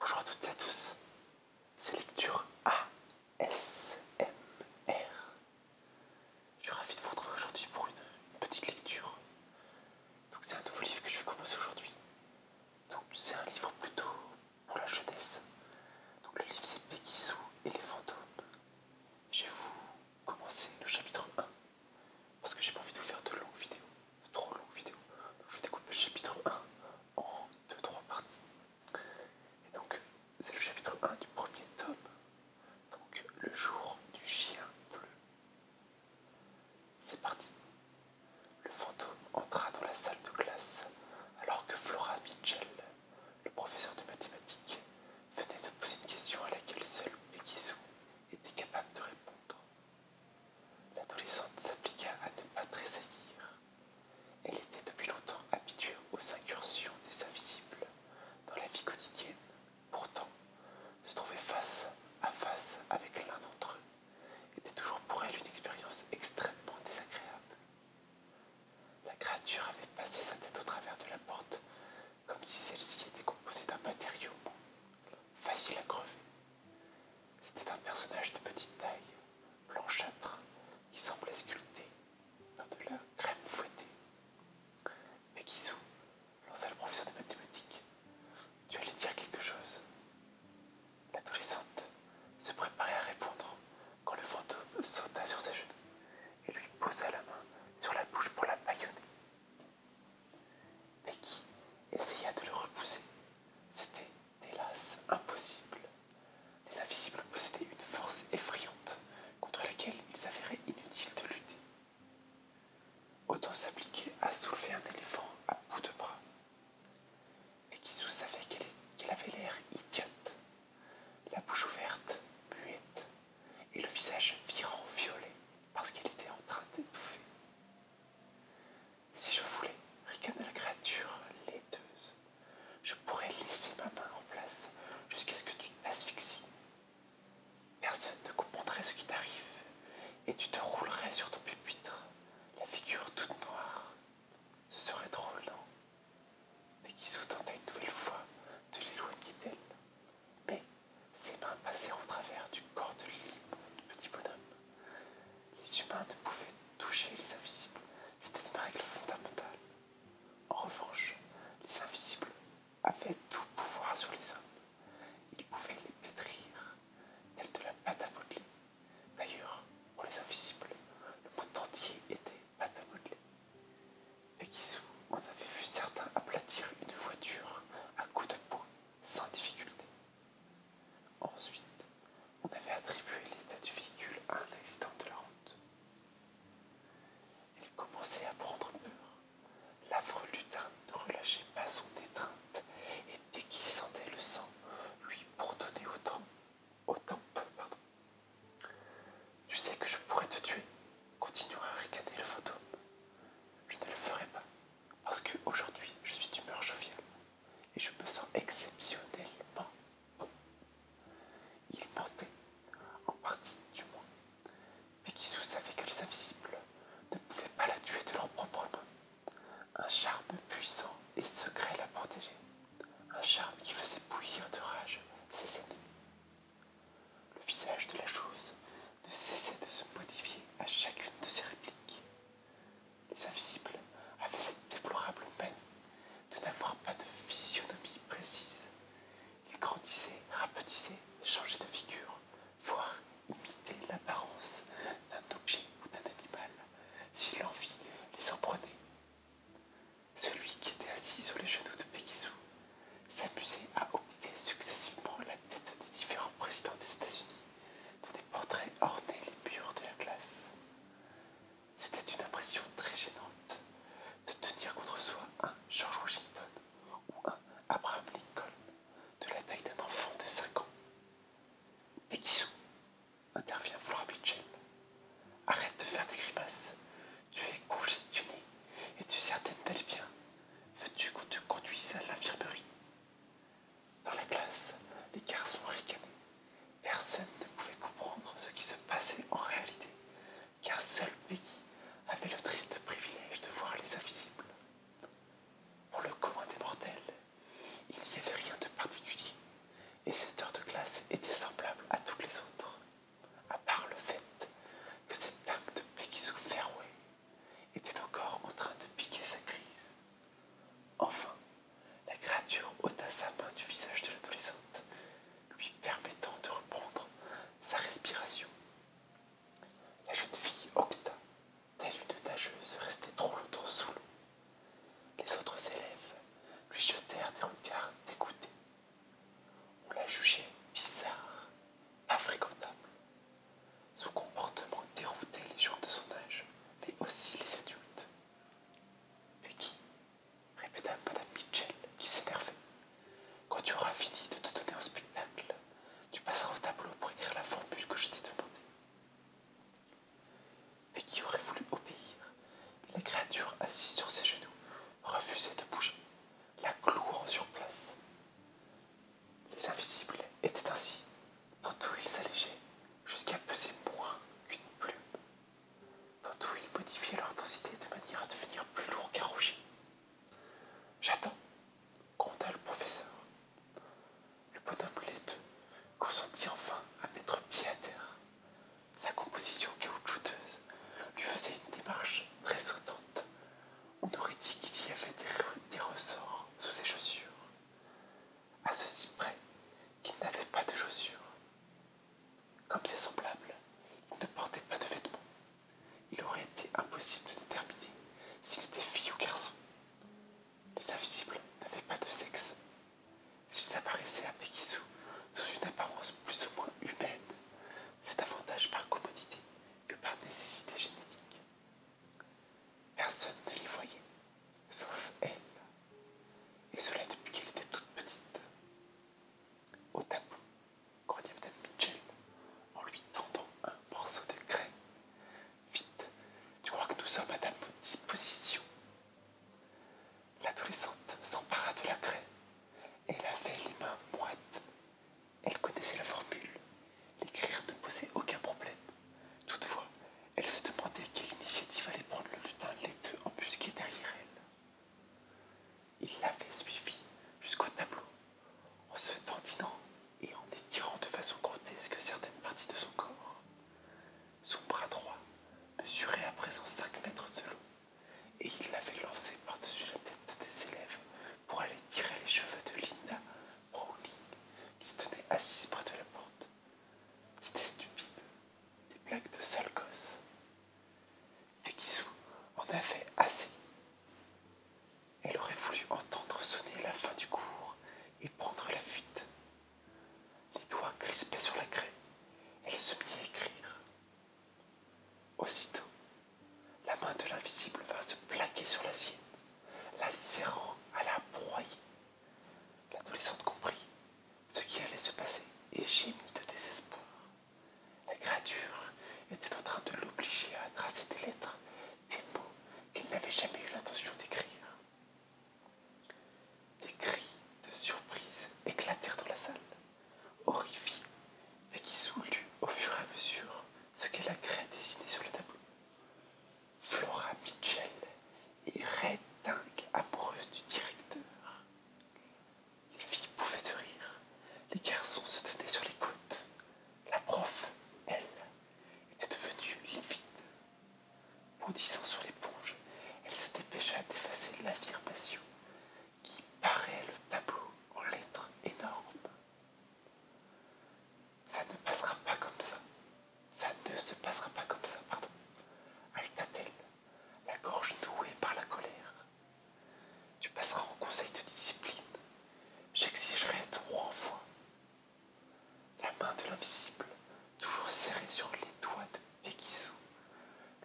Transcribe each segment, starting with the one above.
Bonjour à toutes et à tous, c'est Lecture ASMR. Je suis ravi de vous retrouver aujourd'hui pour une, petite lecture. Donc c'est un nouveau livre que je vais commencer aujourd'hui. Donc c'est un livre plutôt pour la jeunesse. Donc le livre c'est Pekisou et les fantômes. J'ai vous commencer le chapitre 1 parce que j'ai pas envie de vous faire de longues vidéos, trop longues vidéos. Donc je découpe le chapitre 1 en 2-3 parties. Et donc c'est le chapitre 1 du premier tome. Donc le jour du chien bleu. C'est parti. Le fantôme entra dans la salle de classe alors que Flora Mitchell, le professeur de mathématiques, venait de poser une question à laquelle seul Mekizu était capable de répondre. L'adolescente s'appliqua à ne pas tressaillir. Elle était depuis longtemps habituée aux incursions des invisibles dans la vie quotidienne. Pourtant, se trouver face à face avec l'un d'entre eux était toujours pour elle une expérience extrêmement désagréable. La créature avait passé sa tête au travers de la porte, comme si celle-ci était composée d'un matériau facile à crever. C'était un personnage de petite taille, blanchâtre, qui semblait sculpté dans de la crème fouettée. Mais sous, lança le professeur de mathématiques. Tu allais dire quelque chose L'adolescente se préparait à répondre quand le fantôme sauta sur ses genoux et lui posa la main sur la bouche pour la Mais qui essaya de le repousser. C'était, hélas, impossible. Les invisibles possédaient une force effrayante contre laquelle il s'avérait inutile de lutter. Autant s'appliquer à soulever un éléphant à bout de bras. sous savait qu'elle avait l'air idiote la bouche ouverte, muette, et le visage virant violet parce qu'elle était en train d'étouffer. Si je voulais, ricana la créature laiteuse, je pourrais laisser ma main en place jusqu'à ce que tu t'asphyxies. Personne ne comprendrait ce qui t'arrive, et tu te roulerais sur ton pupitre, la figure toute noire. Ce serait trop non mais qui sous-tendait une nouvelle fois de l'éloigner d'elle. Mais ses mains passèrent au travers du corps de du petit bonhomme. Les humains ne pouvaient toucher les invisibles, c'était une règle fondamentale. En revanche, les invisibles avaient tout pouvoir sur les hommes. Ils pouvaient les pétrir, Tels de la pâte D'ailleurs, pour les invisibles, le monde entier était on qui souvent on avait vu certains aplatir une voiture à coups de poing sans difficulté. Ensuite, on avait attribué l'état du véhicule à un accident de la route. Il commençait à prendre peur. L'affreux lutin ne relâchait pas son étreinte et dès qu'il sentait le sang, lui bourdonnait autant. Autant, Pardon. Tu sais que je pourrais te tuer, continua à ricaner le photo. Je ne le ferai pas, parce qu'aujourd'hui je suis d'humeur joviale et je me sens exceptionnellement bon. Il mentait, en partie du moins, mais qui savait que les invisibles ne pouvaient pas la tuer de leur propre main. Un charme puissant et secret la protégeait. Un charme qui faisait bouillir de rage ses ennemis. Le visage de la chose ne cessait de se modifier à chacune de ses répliques. Les invisibles avaient cette déplorable peine de n'avoir pas de physionomie précise. Ils grandissaient, rapetissaient, changeaient de figure, voire imitaient l'apparence d'un objet ou d'un animal si l'envie les en prenait. Celui qui était assis sur les genoux de Sue s'amusait à opter successivement la tête des différents présidents des États-Unis, dont des portraits ornaient les murs de la classe. C'était une impression très gênante de tenir contre soi un George Washington ou un Abraham Lincoln de la taille d'un enfant de 5 ans. Sue intervient voir Mitchell. Arrête de faire des grimaces. Tu es congestionné et tu certaines d'aller bien. Veux-tu qu'on te conduise à l'infirmerie Dans la classe, les garçons ricanaient. Personne ne pouvait comprendre ce qui se passait en réalité, car seul Peggy avait le triste privilège de voir les invisibles. Pour le commun des mortels, il n'y avait rien de particulier, et cette heure de classe était semblable à toutes les autres, à part le fait que cette dame de Peggy Fairway était encore en train de piquer sa crise. Enfin, la créature ôta sa main du visage de l'adolescente, lui permettant de reprendre sa respiration. La jeune fille octa Telle une nageuse restait trop longtemps sous l'eau, les autres élèves lui jetèrent des regards dégoûtés. On la jugeait bizarre, infréquentable. Son comportement déroutait les gens de son âge, mais aussi les adultes. Mais qui répéta Madame Mitchell, qui s'énervait. Quand tu auras fini de te donner un spectacle, tu passeras au tableau pour écrire la formule que je t'ai demandée. Mais qui aurait voulu obéir La créature assise sur ses genoux refusait de bouger, la clouant sur place. Les invisibles étaient ainsi. Tantôt ils s'allégeaient jusqu'à peser moins qu'une plume. Tantôt ils modifiaient leur densité de manière à devenir plus lourds qu'un rocher. J'attends, gronda le professeur. Le bonhomme consentit enfin à mettre pied à terre. Sa composition caoutchouteuse lui faisait une démarche très sautante. On aurait dit qu'il y avait des, ressorts sous ses chaussures, à ceci près qu'il n'avait pas de chaussures. Comme ses semblables, il ne portait pas de vêtements. Il aurait été impossible de déterminer s'il était fille ou garçon. Les invisibles n'avaient pas de sexe. S'ils apparaissaient à Pekisu sous une apparence plus ou moins humaine, c'est davantage par commodité que par nécessité génétique. Personne ne les voyait, sauf elle, et cela depuis qu'elle était toute petite. Au tableau, croyait Madame Mitchell en lui tendant un morceau de craie Vite, tu crois que nous sommes à ta disposition L'adolescente s'empara de la craie. Elle avait les mains moites. Elle connaissait la formule. L'écrire ne posait aucun problème. Toutefois, elle se demandait quelle initiative allait prendre le lutin laiteux embusqué derrière elle. Il l'avait suivi jusqu'au tableau en se tendinant et en étirant de façon grotesque certaines parties de son corps. Son bras droit mesurait à présent 5 mètres de long et il l'avait lancé par-dessus la tête des élèves pour aller tirer les cheveux de Linda Browning qui se tenait assise près de la porte. C'était stupide, des blagues de sale gosse. Et Kisou en avait assez. Elle aurait voulu entendre sonner la fin du cours et prendre la fuite. Les doigts crispés sur la craie, elle se mit à écrire. Aussitôt, la main de l'invisible vint se plaquer sur la sienne, la serrant à la broyer. L'adolescente comprit ce qui allait se passer et gémit de désespoir. La créature était en train de l'obliger à tracer des lettres des mots qu'il n'avait jamais eu l'intention d'écrire. Des cris de surprise éclatèrent dans la salle, horrifiés, mais qui soulut au fur et à mesure ce qu'elle a créé dessiné sur le tableau. Flora Mitchell est redingue amoureuse du directeur. Les filles pouvaient rire, les garçons se tenaient sur les côtes, la prof, elle, était devenue livide. Moudissant sur l'éponge, elle se dépêcha d'effacer l'affirmation qui paraît le tableau en lettres énormes. Ça ne passera pas comme ça. Ça ne se passera pas comme ça, pardon. ajouta t elle la gorge nouée par la colère. Tu passeras en conseil de discipline. J'exigerai trois renvoi. La main de l'invisible, toujours serrée sur les doigts de Pegisou,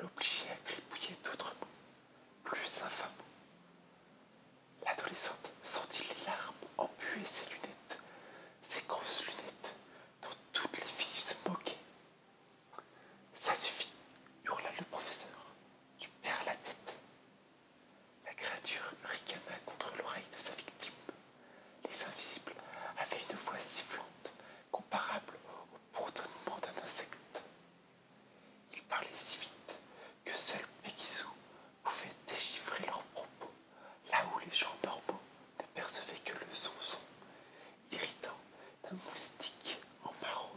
l'obligeait à gribouiller d'autres mots, plus infamants. L'adolescente sentit les larmes empuer ses lunettes, ses grosses lunettes dont toutes les filles se moquaient. Ça suffit, hurla le professeur. Tu perds la tête. La créature ricana contre l'oreille de sa victime. Les invisibles avaient une voix sifflante, comparable au bourdonnement d'un insecte. Ils parlaient si vite que seul Pegisou pouvait déchiffrer leurs propos, là où les gens normaux n'apercevaient que le son-son irritant d'un moustique en maraude.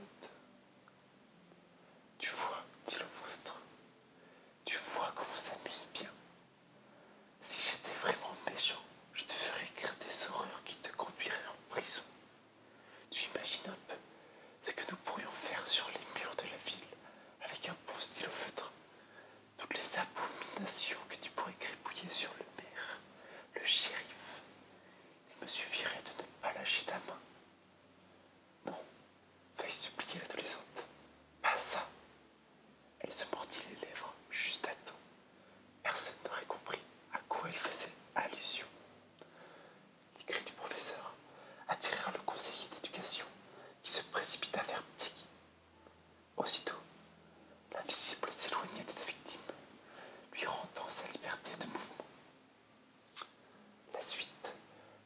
Tu vois, dit le monstre, tu vois comment on s'amuse bien. Si j'étais vraiment méchant, je te ferais écrire des horreurs qui te conduiraient en prison. Tu imagines un peu ce que nous pourrions faire sur les murs de la ville avec un bon stylo feutre. Toutes les abominations que tu pourrais crépouiller sur le maire, le shérif. Il me suffirait de ne pas lâcher ta main non, veuille supplier l'adolescente. Pas ça. Elle se mordit les lèvres juste à temps. Personne n'aurait compris à quoi elle faisait allusion. Les cris du professeur attirèrent le conseiller d'éducation qui se précipita vers Peggy. Aussitôt, l'invisible s'éloigna de sa victime, lui rendant sa liberté de mouvement. La suite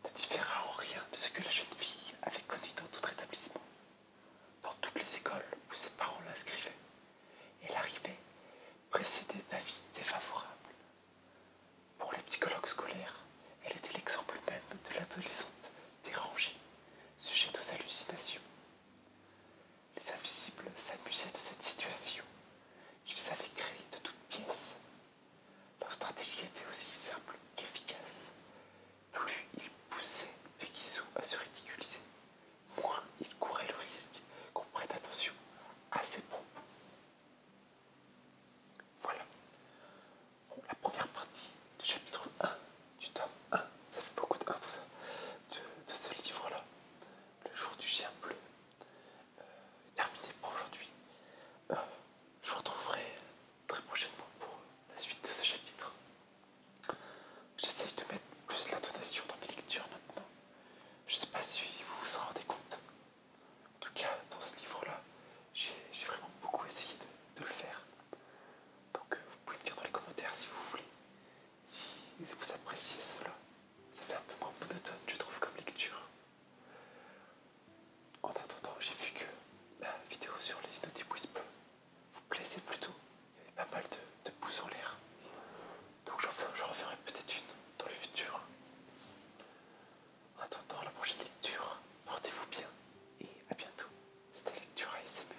ne différa en rien de ce que la jeune fille avait connu dans d'autres établissements, dans toutes les écoles où ses parents l'inscrivaient. Elle arrivait précédée d'avis défavorables. Pour les psychologues scolaires, elle était l'exemple même de l'adolescente dérangée, sujette aux hallucinations. Les invisibles s'amusaient de cette situation qu'ils avaient créée de toutes pièces. Leur stratégie était aussi simple qu'efficace. Plus ils poussaient Pekisu à se ridiculiser, moins ils couraient le risque qu'on prête attention à ses propos. Voilà. la première partie du chapitre 1 du tome 1, ça fait beaucoup de 1 tout ça, de ce livre-là le jour du chien bleu euh, terminé pour aujourd'hui. Euh, je vous retrouverai très prochainement pour la suite de ce chapitre. J'essaye de mettre plus la donation dans mes lectures maintenant. Je ne sais pas si vous vous en rendez compte. En tout cas, dans ce livre-là, j'ai vraiment beaucoup essayé de le faire. Donc, euh, vous pouvez me dire dans les commentaires si vous voulez si vous appréciez cela, ça fait un peu moins monotone, je trouve, comme lecture. En attendant, j'ai vu que la vidéo sur les Innoty Whisper vous plaisait plutôt. Il y avait pas mal de, de pouces en l'air. Donc j'en referai peut-être une dans le futur. En attendant la prochaine lecture, portez-vous bien et à bientôt. C'était Lecture ASMR.